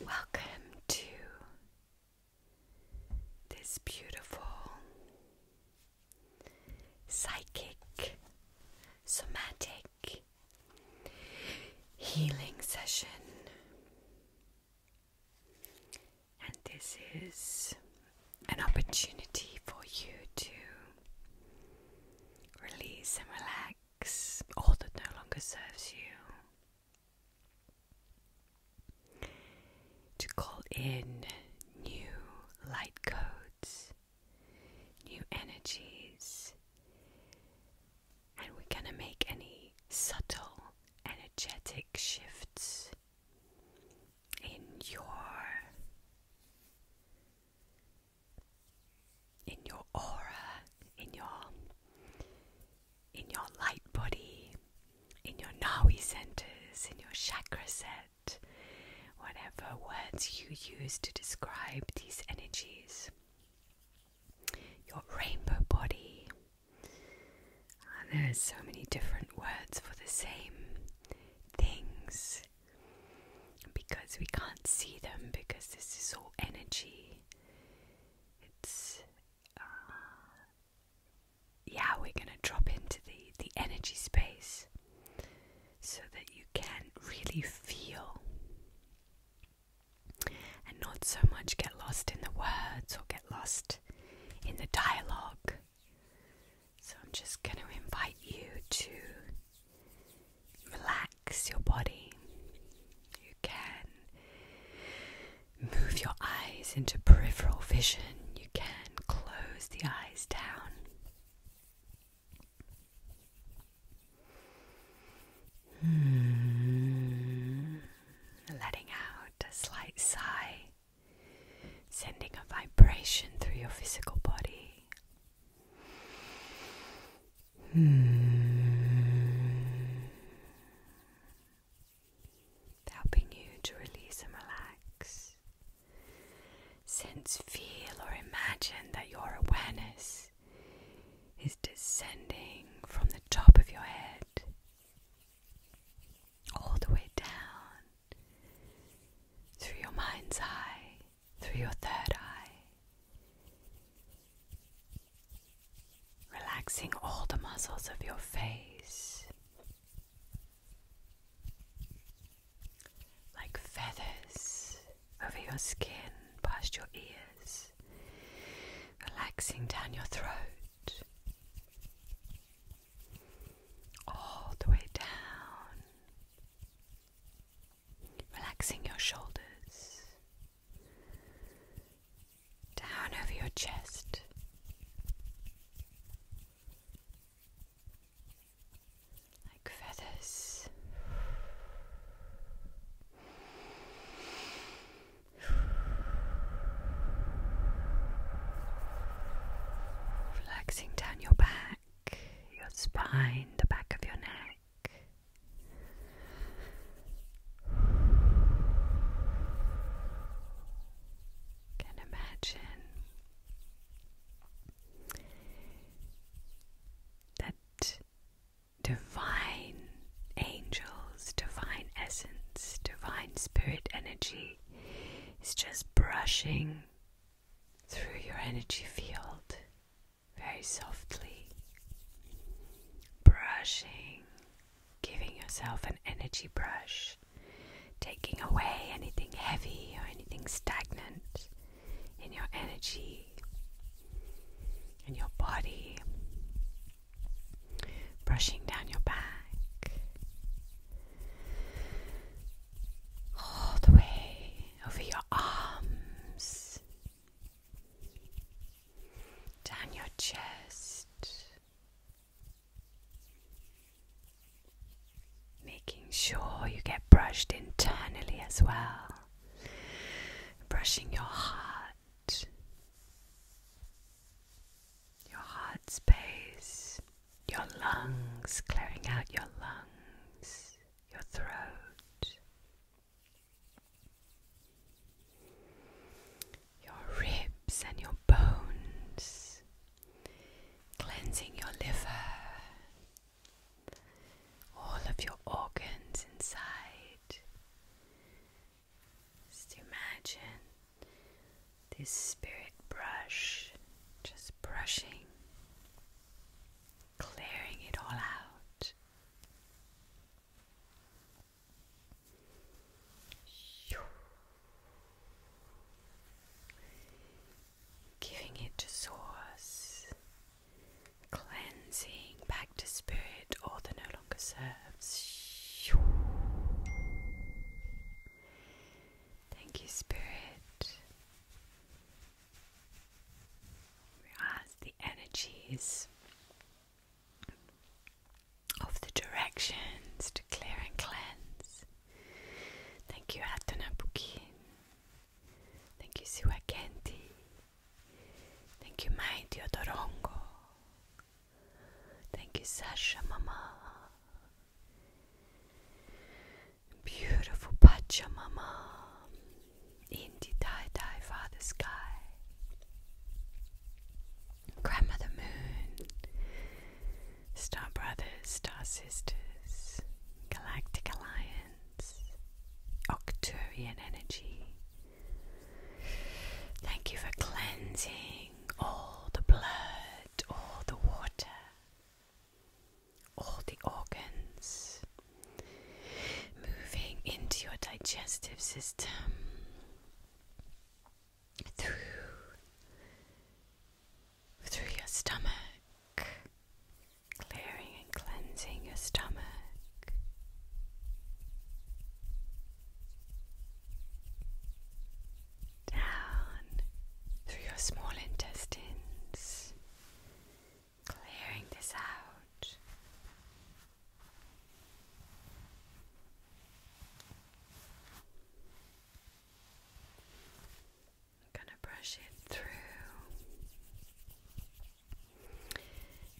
Welcome to this beautiful psychic, somatic healing session, and this is an opportunity for you to release and relax all that no longer serves you. To call in new light codes, new energies, and we're going to make any subtle energetic shifts in your in your aura, in your in your light body, in your Nawi centers, in your chakra set, whatever words you use to describe these energies. Your rainbow body. And ah, there are so many different words for the same things because we can't see them because this is all energy. It's uh, yeah, we're going to drop into the the energy space so that you can really feel and not so much get lost in the words or get lost in the dialogue. So I'm just going to invite you to relax your body. You can move your eyes into peripheral vision. You can close the eyes down. Hmm. Letting out a slight sigh, sending a vibration through your physical body. Hmm. Helping you to release and relax. Since feel or imagine that your awareness is descending from the top of your head all the way down through your mind's eye through your third eye, relaxing all the muscles of your face like feathers over your skin, past your ears, relaxing down your throat. All the way down relaxing your shoulders, down over your chest. Like feathers. Relaxing down your back, your spine, the back of your neck. Can imagine that divine angels, divine essence, divine spirit energy is just brushing through your energy field very softly, brushing, giving yourself an energy brush, taking away anything heavy or anything stagnant in your energy, in your body, brushing down your back, all the way over your arms down your chest, making sure you get brushed internally as well, brushing your heart, your heart space, your lungs, clearing out your lungs, your throat your ribs and your bones, cleansing your liver, all of your organs inside. Just imagine this spirit brush just brushing clearing it all out. Giving it to source, cleansing back to spirit, all that no longer serves. Thank you, spirit. Whereas the energies of the directions to clear and cleanse. Thank you, Atanabukin. Thank you, Siwakenti. Thank you, Mai Diodorongo. Thank you, Sasha Mama beautiful Pachamama in the tie dye father sky. Grandmother Moon, Star Brothers, Star Sisters, Galactic Alliance, Octurian Energy. Thank you for cleansing all the blood, all the water, all the organs, moving into your digestive system through through your stomach, clearing and cleansing your stomach. Down through your small intestines, clearing this out. I'm going to brush it through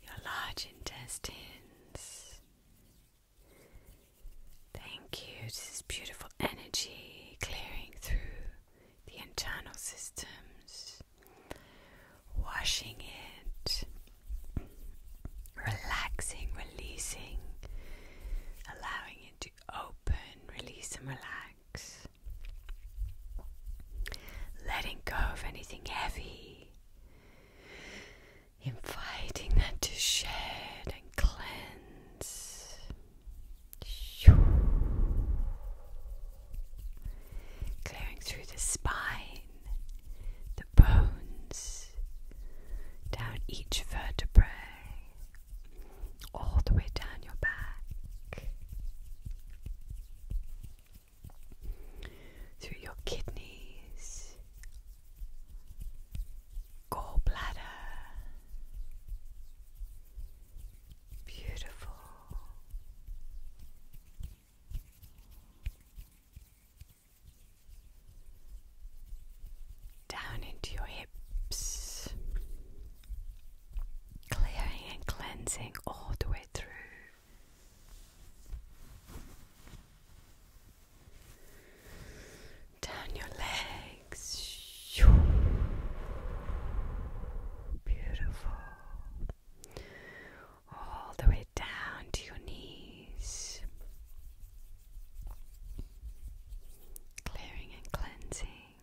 your large intestines. Thank you. This is beautiful energy clearing through the internal systems, washing it, relaxing, releasing, allowing it to open, release, and relax, letting go of anything heavy, inviting that to shed and cleanse. Clearing through the spine, the bones, down each vertebrae, all the way down your back, through your kidneys, gallbladder. Beautiful. Down into your hips, clearing and cleansing all the way through. Down your legs, Beautiful. All the way down to your knees. Clearing and cleansing.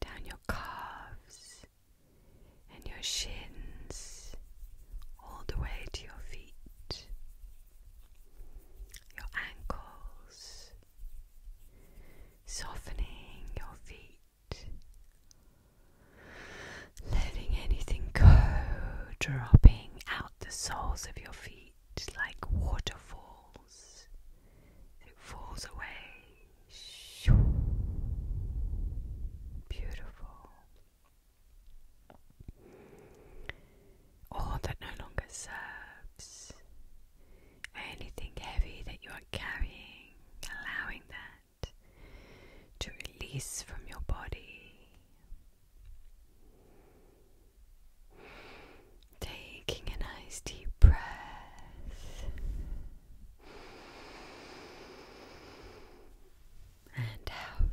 Down your calves and your shins. All the way to your feet. Your ankles softening your feet, letting anything go, dropping out the soles of your feet like waterfalls. It falls away. Beautiful. All that no longer serves Anything heavy that you are carrying, allowing that to release from your body. Taking a nice deep breath and out.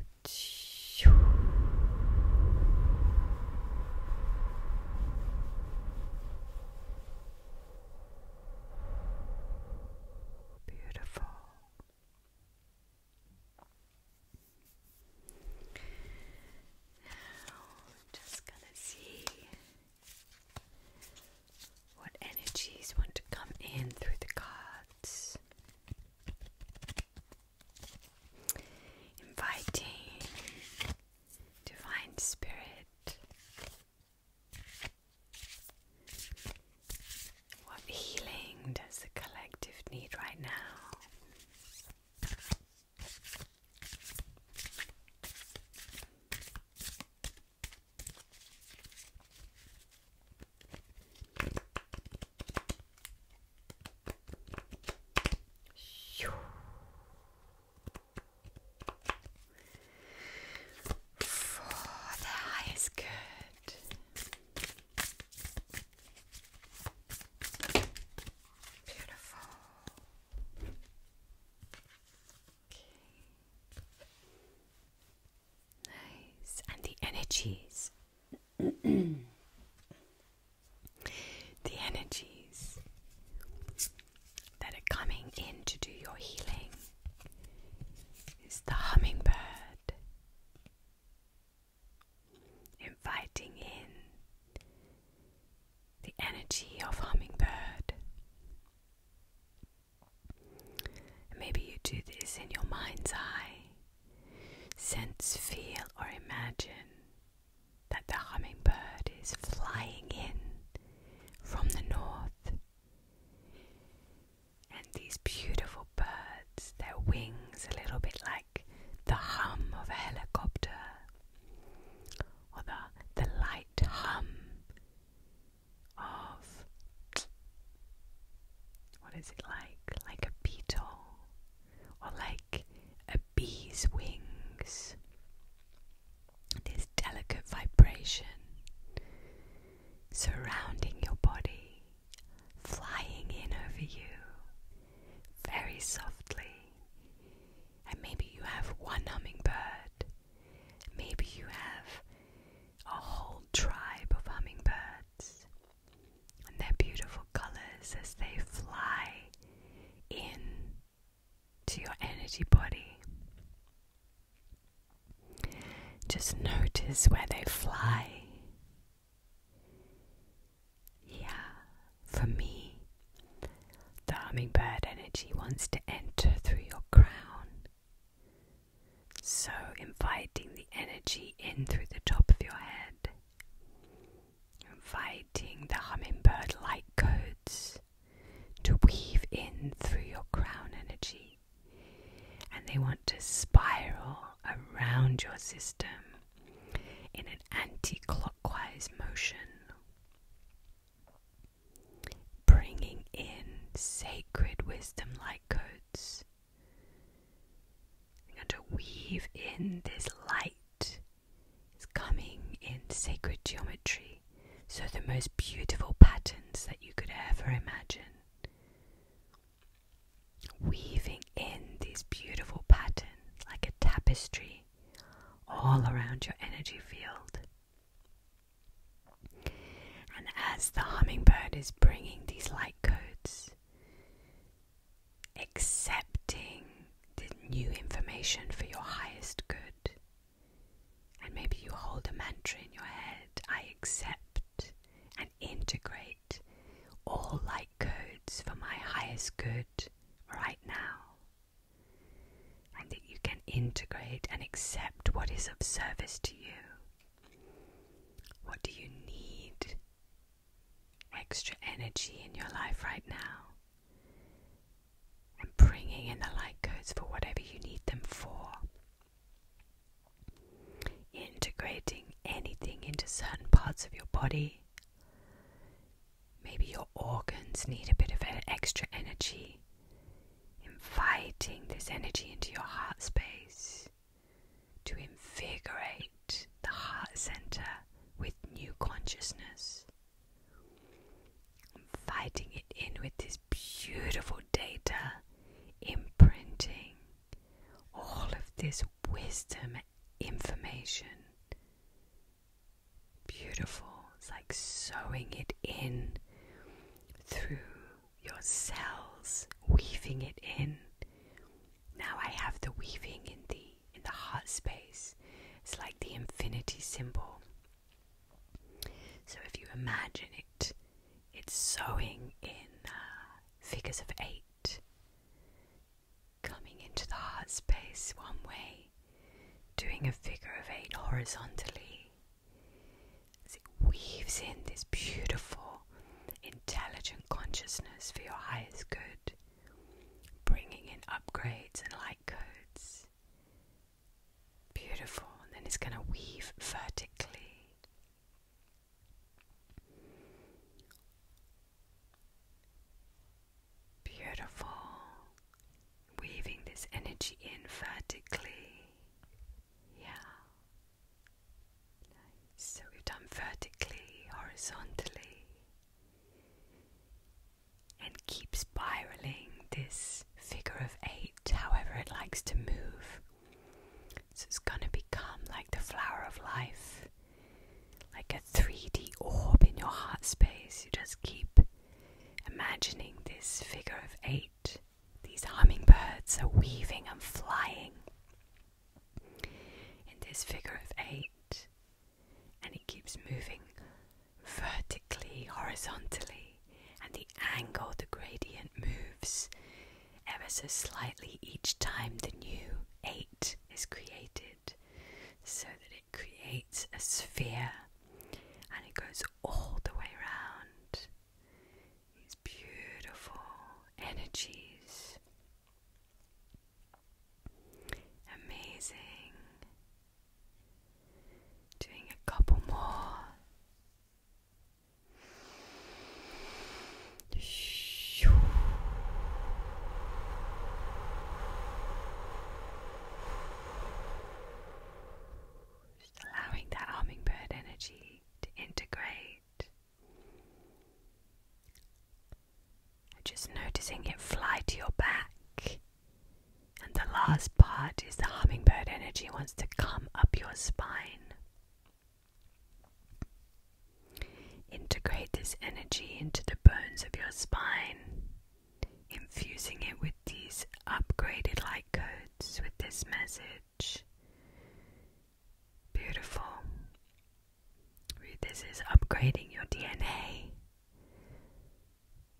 Beautiful. Now I'm just going to see what energies want to come in through the cards. Inviting Divine Spirit, what healing does the collective need right now? Oh, the eye is good. Beautiful. Okay. Nice. And the energies. The energies that are coming in to do your healing is the hummingbird inviting in the energy of hummingbird. Maybe you do this in your mind's eye. Sense, feel, or imagine that the hummingbird is flying in from the north. And these beautiful birds, their wings a little bit like the hum of a helicopter or the, the light hum of what is it like? Like a beetle or like a bee's wings. This delicate vibration surrounding your body, flying in over you very softly. And maybe you have one hummingbird, maybe you have a whole tribe of hummingbirds and their beautiful colors as they fly in to your energy body. Just notice where they fly. Yeah, for me, the hummingbird energy wants to enter through your crown. So, inviting the energy in through the top of your head inviting the hummingbird like codes to weave in through your crown energy. And they want to spiral around your system in an anti clockwise motion, bringing in sacred wisdom like codes. you to weave in this light is coming in sacred geometry, so the most beautiful patterns that you could ever imagine. Weaving in these beautiful patterns like a tapestry all around your energy field. And as the hummingbird is bringing these light codes, accepting the new information for your highest good. And maybe you hold a mantra in your head I accept and integrate all light codes for my highest good right now. And that you can integrate and accept what is of service to you. What do you need extra energy in your life right now and bringing in the light codes for whatever you need them for. Integrating anything into certain parts of your body. Maybe your organs need a bit of extra energy. Inviting this energy into your heart space to invigorate the heart center with new consciousness. Fighting it in with this beautiful data, imprinting all of this wisdom information. Beautiful. It's like sewing it in through your cells, weaving it in, now I have the weaving in the in the heart space. It's like the infinity symbol. So if you imagine it, it's sewing in uh, figures of eight, coming into the heart space one way, doing a figure of eight horizontally. As it weaves in this beautiful, intelligent consciousness for your highest good bringing in upgrades and light codes. Beautiful. And then it's going to weave vertically. Beautiful. Weaving this energy in vertically. Yeah. So we've done vertically, horizontally and keep spiraling this figure of eight however it likes to move. So it's going to become like the flower of life, like a 3D orb in your heart space. You just keep imagining this figure of eight. These hummingbirds are weaving and flying in this figure of eight and it keeps moving vertically, horizontally, and the angle, the gradient moves ever so slightly each time the new 8 is created, so that it creates a sphere and it goes all the way around. These beautiful energies. Amazing. Doing a couple more. Just allowing that hummingbird energy to integrate just noticing it fly to your back. And the last part is the hummingbird energy wants to come up your spine. Integrate this energy into the bones of your spine, infusing it with these upgraded light codes with this message. Beautiful. This is upgrading your DNA,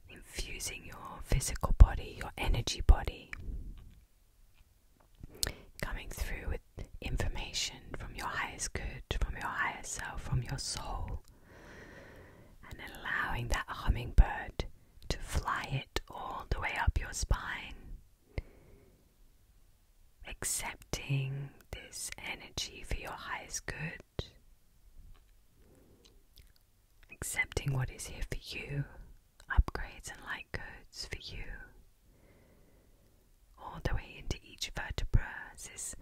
infusing your physical body, your energy body, coming through with information from your highest good, from your higher self, from your soul, and allowing that hummingbird to fly it all the way up your spine accepting this energy for your highest good, accepting what is here for you, upgrades and light goods for you, all the way into each vertebra this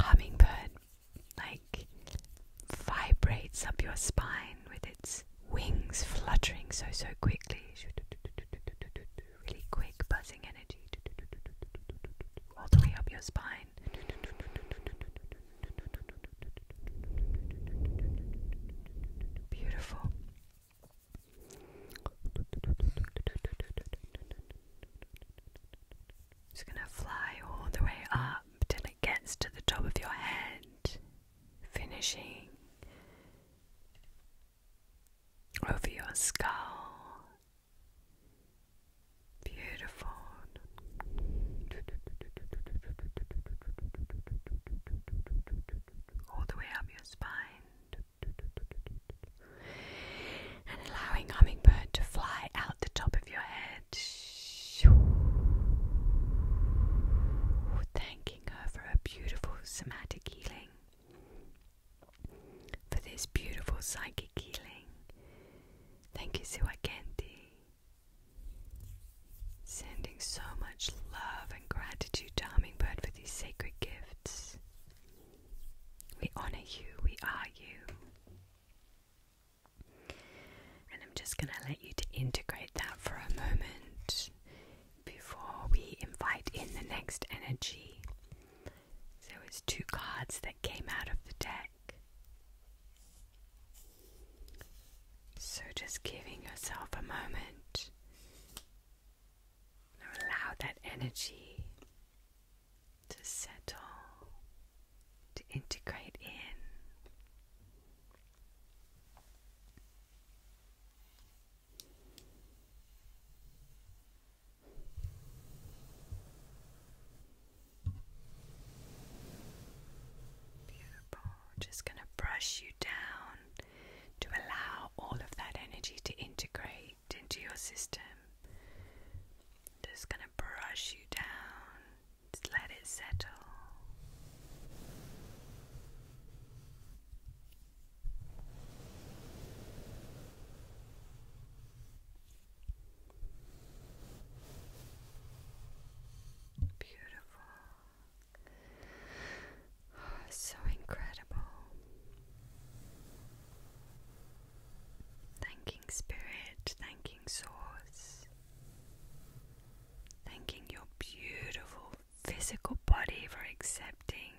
hummingbird like vibrates up your spine with its wings fluttering so so quickly really quick buzzing energy all the way up your spine. Beautiful. It's going to fly all the way up till it gets to the top of your head, finishing over your skull. Beautiful. All the way up your spine. And allowing hummingbird to fly out the top of your head. Thanking her for her beautiful somatic healing for this beautiful psychic healing. Thank you, Siwakenti. Sending so much love and gratitude to Hummingbird for these sacred gifts. We honor you, we are you. And I'm just going to let you to integrate that for a moment before we invite in the next energy. So it's two cards that came out of the deck. So just giving yourself a moment. Allow that energy to settle, to integrate in. Just going to brush you down to allow all of that energy to integrate into your system. Just going to brush you down. Just let it settle. Beautiful. Oh, so incredible. Thanking Spirit, thanking Source, thanking your beautiful physical body for accepting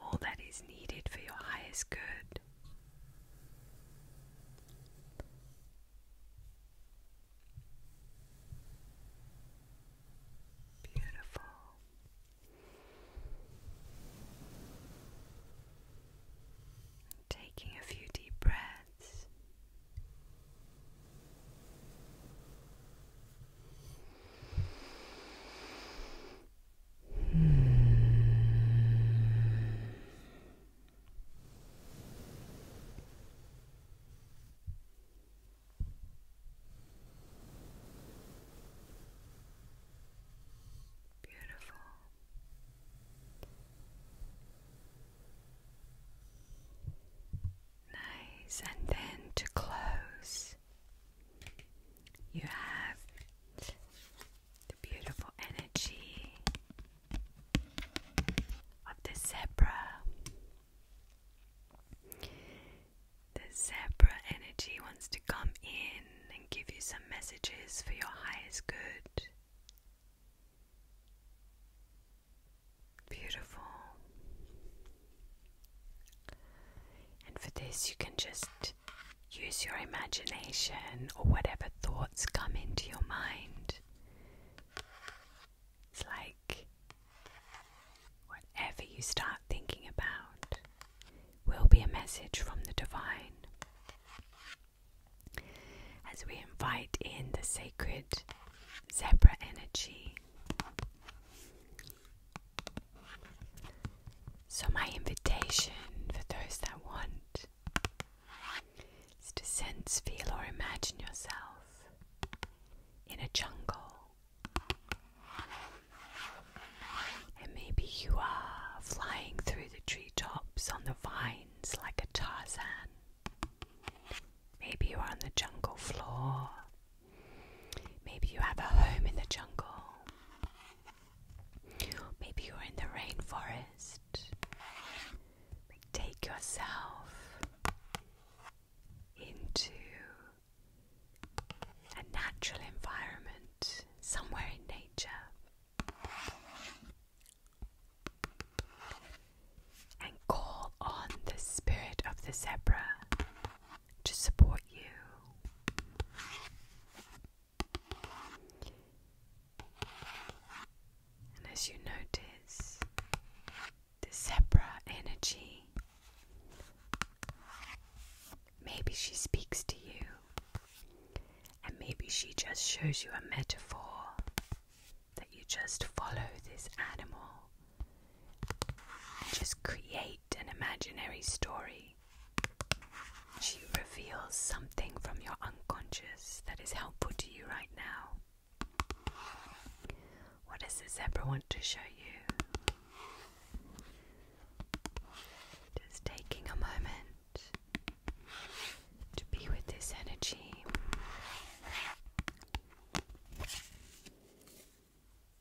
all that is needed for your highest good. Beautiful. Taking a few deep breaths. Beautiful. Nice, and then to close, you have the beautiful energy of the zebra. The zebra energy wants to come in and give you some messages for your highest good. Beautiful. And for this, you can just use your imagination or whatever thoughts come into your mind. It's like whatever you start thinking about will be a message from the divine. As we invite in the sacred zebra energy, so, my invitation for those that want is to sense, feel, or imagine yourself in a jungle. And maybe you are flying through the treetops on the vines like a Tarzan. Maybe you are on the jungle floor Maybe you have a home in the jungle. Maybe you're in the rainforest. Take yourself into a natural environment, somewhere in nature, and call on the spirit of the zebra to support you. And as you notice, the zebra energy, maybe she speaks to you, and maybe she just shows you a metaphor that you just follow this animal just create an imaginary story. She reveals something from your unconscious that is helpful to you right now. What does the zebra want to show you? Just taking a moment to be with this energy.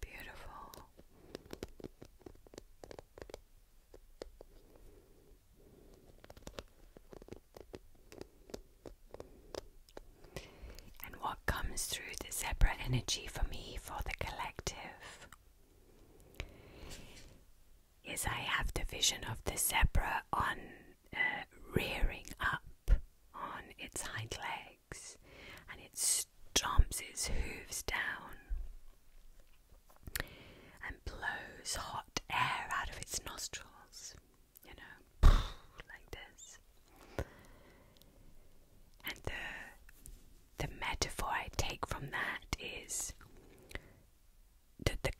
Beautiful. And what comes through the zebra energy for me for the collective Yes, I have the vision of the zebra on uh, rearing up on its hind legs and it stomps its hooves down and blows hot air out of its nostrils, you know, like this. And the the metaphor I take from that is the, the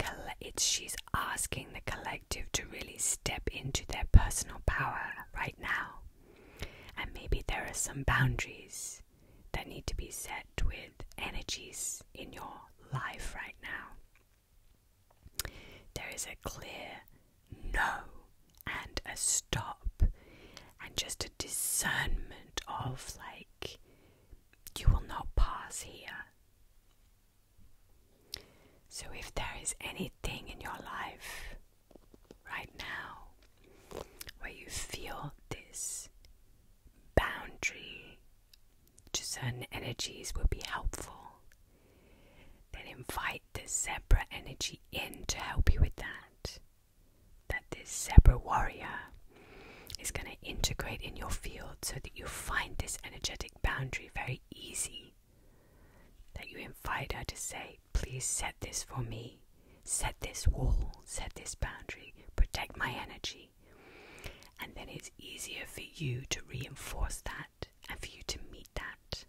it's she's asking the collective to really step into their personal power right now. And maybe there are some boundaries that need to be set with energies in your life right now. There is a clear no and a stop, and just a discernment of like, you will not pass here. So, if there is anything in your life right now where you feel this boundary to certain energies would be helpful, then invite the zebra energy in to help you with that. That this zebra warrior is going to integrate in your field so that you find this energetic boundary very easy. That you invite her to say, Please set this for me, set this wall, set this boundary, protect my energy. And then it's easier for you to reinforce that and for you to meet that.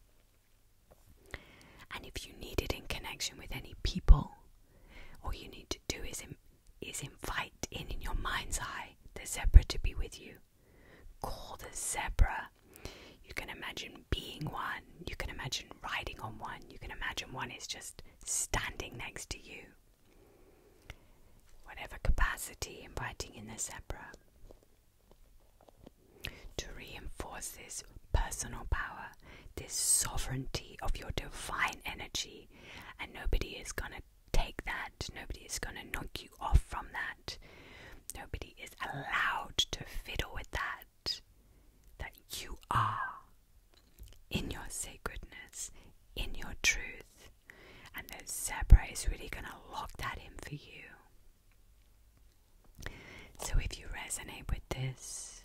And if you need it in connection with any people, all you need to do is is invite in in your mind's eye the zebra to be with you. Call the zebra. You can imagine being one. You can imagine riding on one. You can imagine one is just standing next to you. Whatever capacity, inviting in the zebra. To reinforce this personal power, this sovereignty of your divine energy, and nobody is going to take that. Nobody is going to knock you off from that. Nobody is allowed to fiddle with that. That you are in your sacredness, in your truth. And the Zebra is really going to lock that in for you. So if you resonate with this,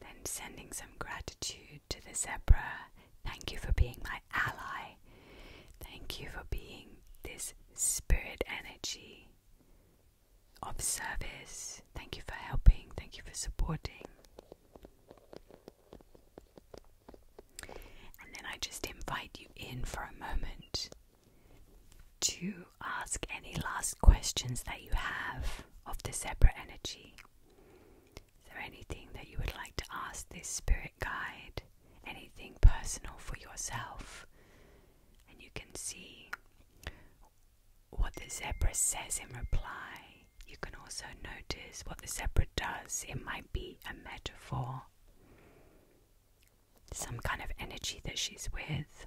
then sending some gratitude to the zebra. Thank you for being my ally. Thank you for being this spirit energy of service. Thank you for helping. Thank you for supporting. And then I just invite you in for a moment to ask any last questions that you have of the zebra energy. Is there anything that you would like to ask this spirit guide? Anything personal for yourself? And you can see what the zebra says in reply. You can also notice what the zebra does. It might be a metaphor, some kind of energy that she's with.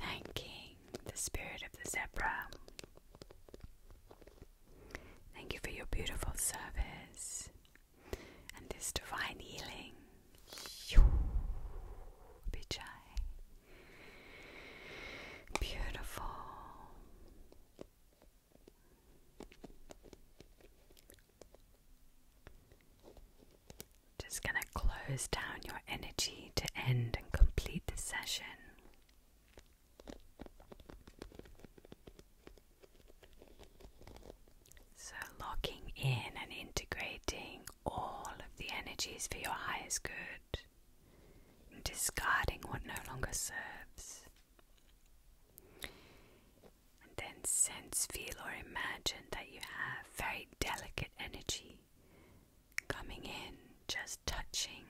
Thanking the spirit of the zebra. Thank you for your beautiful service and this divine healing. Bichai. Beautiful. Just going to close down your energy to end and complete the session. So, locking in and integrating all of the energies for your highest good, and discarding what no longer serves. And then sense, feel, or imagine that you have very delicate energy coming in, just touching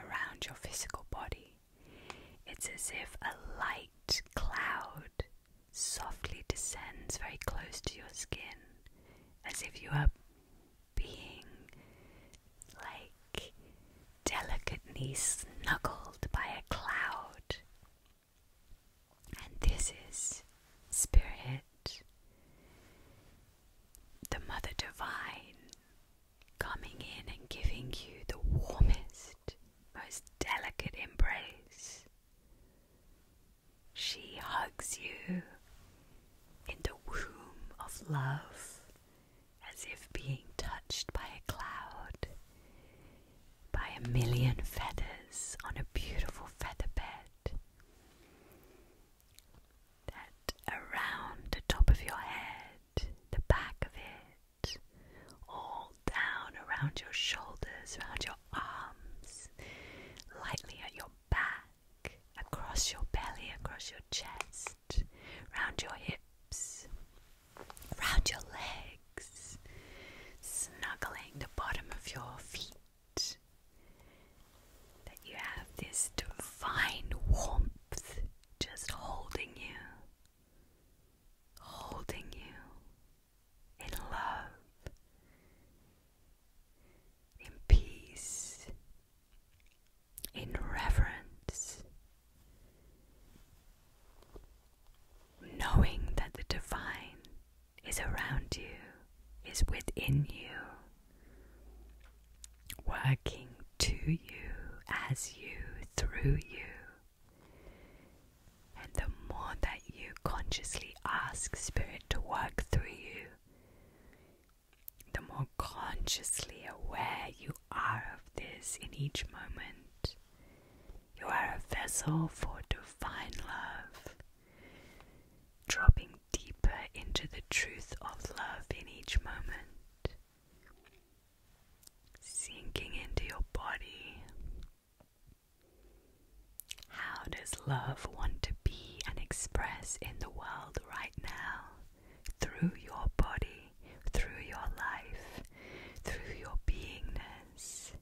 around your physical body. It's as if a light cloud softly descends very close to your skin, as if you are being like delicately snuggled by a cloud and this is Spirit, the Mother Divine, coming in and giving you the warmest, most delicate embrace. She hugs you in the womb of love as if being touched by a cloud by a million feathers on a beautiful feather bed that around the top of your head, the back of it, all down around your shoulders, around your arms, lightly at your back, across your belly, across your chest, round your hips, round your legs snuggling the bottom of your feet, that you have this divine warmth just holding you, holding you in love, in peace, in reverence. Knowing that the divine is around you, is within you, working to you, as you, through you. And the more that you consciously ask Spirit to work through you, the more consciously aware you are of this in each moment, you are a vessel for divine love, dropping deeper into the truth of love in each moment, sinking into your body. How does love want to be and express in the world right now? Through your body, through your life, through your beingness.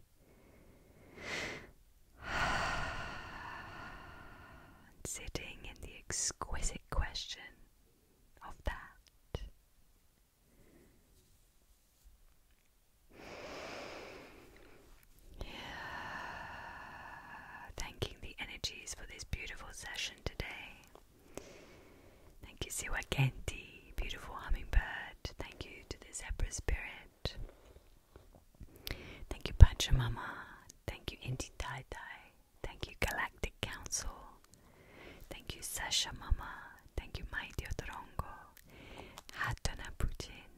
sitting in the exquisite question of that. Yeah. Thanking the energies for this beautiful session today. Thank you, Siwakenti, beautiful hummingbird. Thank you to the Zebra Spirit. Thank you, Pachamama. Thank you, Indi Tai Tai. Thank you, Galactic Council. Thank you, Sasha Mama. Thank you, My Diotorongo. Hatana Putin.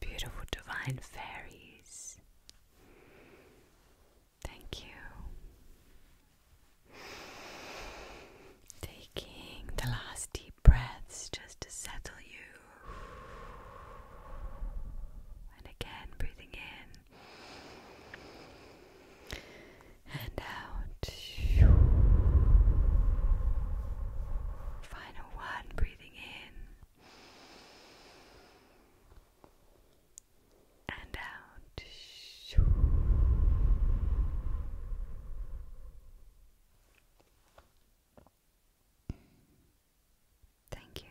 Beautiful divine fairies. Thank you. Taking the last deep breaths just to settle you. And again, breathing in and out. Final one, breathing in and out. Thank you.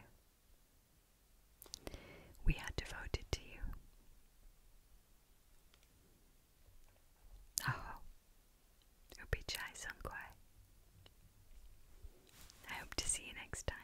We are devoted to you. Oh, Upichai Songkwai. I hope to see you next time.